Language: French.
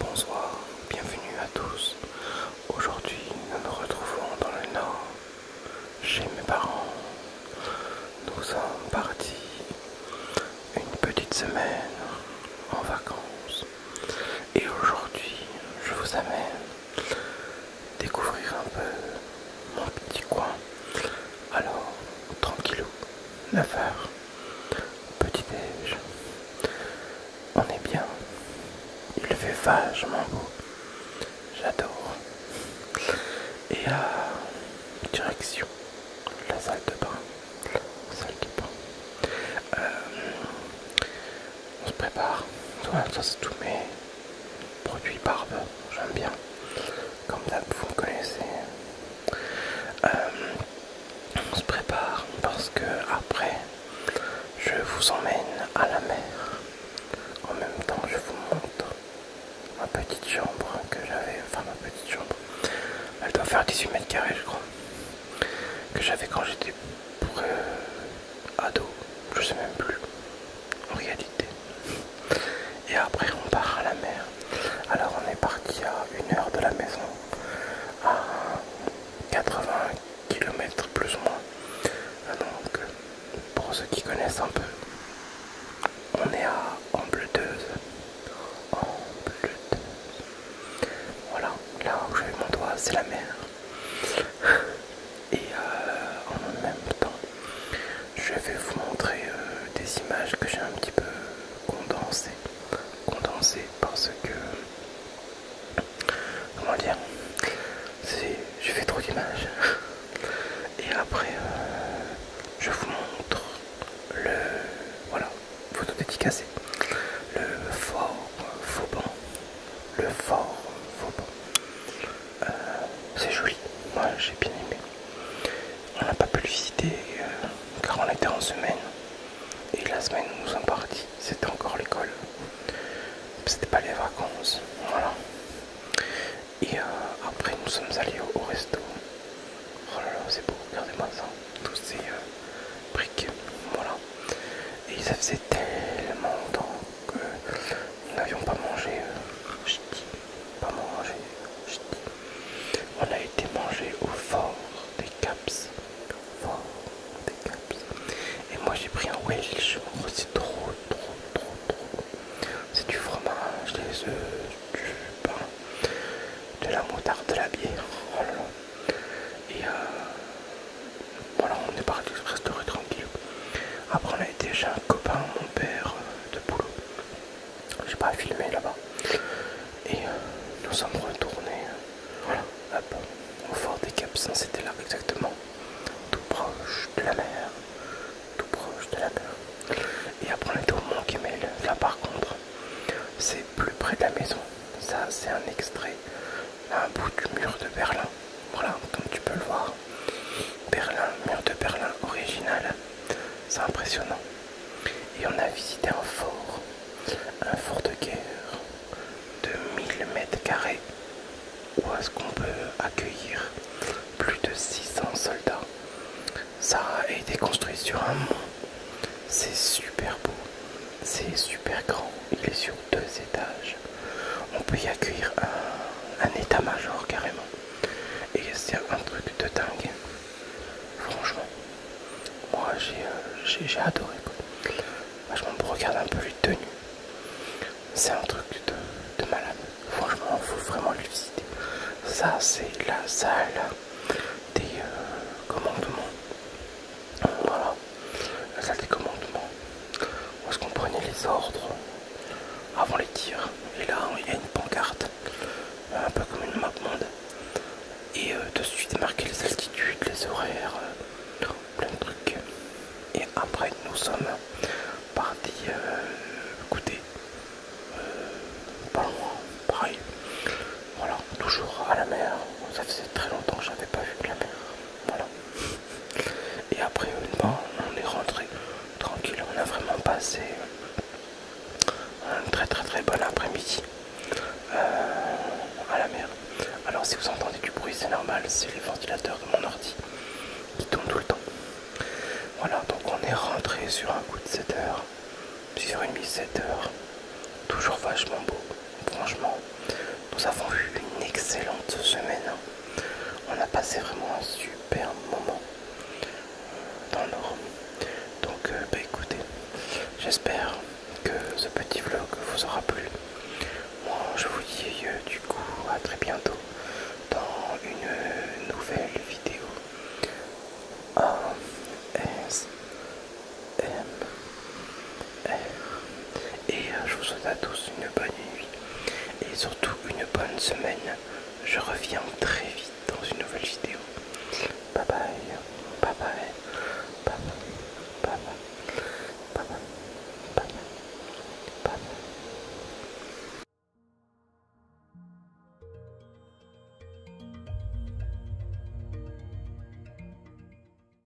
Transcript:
Bonsoir, bienvenue à tous. Aujourd'hui, nous nous retrouvons dans le nord chez mes parents. Nous sommes partis une petite semaine en vacances et aujourd'hui je vous amène découvrir un peu mon petit coin. Alors tranquillou, heures petit déj. On est bien, il fait vachement beau j'adore. Et à direction la salle de bain. La salle de bain. Euh, on se prépare. ça c'est tous mes produits barbe. J'aime bien. Comme d'hab, vous me connaissez. Euh, on se prépare parce que après je vous emmène à la mer. En même temps, je vous montre ma petite chambre que j'avais, enfin ma petite chambre, elle doit faire 18 mètres carrés, je crois, que j'avais quand j'étais pour euh, ado, je sais même plus, en réalité. Et après, on part à la mer. Alors, on est parti à une heure de la maison, à 80 kilomètres plus ou moins. Euh, donc, pour ceux qui connaissent un peu, on est à en Ambleteuse. Voilà, là où vais mon doigt, c'est la mer. Et euh, en même temps, je vais vous montrer euh, des images que j'ai un petit peu condensées. Condensées parce que comment dire j'ai fait trop d'images et après euh, je vous montre le voilà photo dédicacée le fort Fauban le fort Fauban euh, c'est joli moi j'ai bien aimé on n'a pas pu le visiter euh, car on était en semaine et la semaine où nous sommes partis, c'était encore l'école. C'était pas les vacances. Voilà. Et euh, après, nous sommes allés au, resto. Oh là là, c'est beau, regardez-moi ça. Tous ces euh, briques. Voilà. Et ça faisait tellement longtemps que nous n'avions pas mangé. Euh, pas mangé. On a été mangé au fort des Caps. Fort des Caps. Et moi j'ai pris un Welsh. C'est trop, trop, trop, trop. C'est du fromage, des œufs, du pain, de la moutarde, de la bière. Oh Et euh, voilà, on est parti rester tranquille. Après, on a été chez un copain, mon père euh, de boulot j'ai pas filmé là-bas. Et euh, nous sommes retournés euh, au fort des Capsans, c'était là exactement, tout proche de la mer, tout proche de la mer. Et après on était au Mont Kemel, là par contre, c'est plus près de la maison. Ça c'est un extrait, un bout du mur de Berlin. Voilà, comme tu peux le voir. Berlin, mur de Berlin original. C'est impressionnant. Et on a visité un fort, un fort de guerre de 1000 mètres carrés, où est-ce qu'on peut accueillir plus de 600 soldats. Ça a été construit sur un mont. C'est super beau, c'est super grand, il est sur deux étages. On peut y accueillir un, un état-major carrément et c'est un truc de dingue franchement moi j'ai euh, adoré Je regarde un peu les tenues. C'est un truc de, malade. Franchement, il faut vraiment le visiter. Ça, c'est la salle des euh, commandements. Voilà, la salle des commandements. Où est-ce qu'on prenait les ordres avant les tirs. Et là, il y a une pancarte, un peu comme une map monde. Et euh, de suite suite marqué les altitudes, les horaires, euh, plein de trucs. Et après, nous sommes partis euh, euh, pas loin, pareil. Voilà, toujours à la mer. Ça faisait très longtemps que j'avais pas vu de la mer. Voilà. Et après, une fois on est rentré tranquille. On a vraiment passé euh, un très très très bon après-midi euh, à la mer. Alors si vous entendez du bruit, c'est normal, c'est les ventilateurs de mon ordi qui tournent tout le temps. Voilà, donc on est rentré sur un coup de 7 h sur une mi 7 heures. Toujours vachement beau, franchement. Nous avons eu une excellente semaine. On a passé vraiment un super moment dans l'or. Donc euh, bah écoutez, j'espère que ce petit vlog vous aura plu. Moi je vous dis euh, du coup à très bientôt dans une nouvelle vidéo. Et euh, je vous souhaite à tous une bonne nuit et surtout une bonne semaine. Je reviens très vite dans une nouvelle vidéo. Bye bye, bye bye, bye bye, bye bye, bye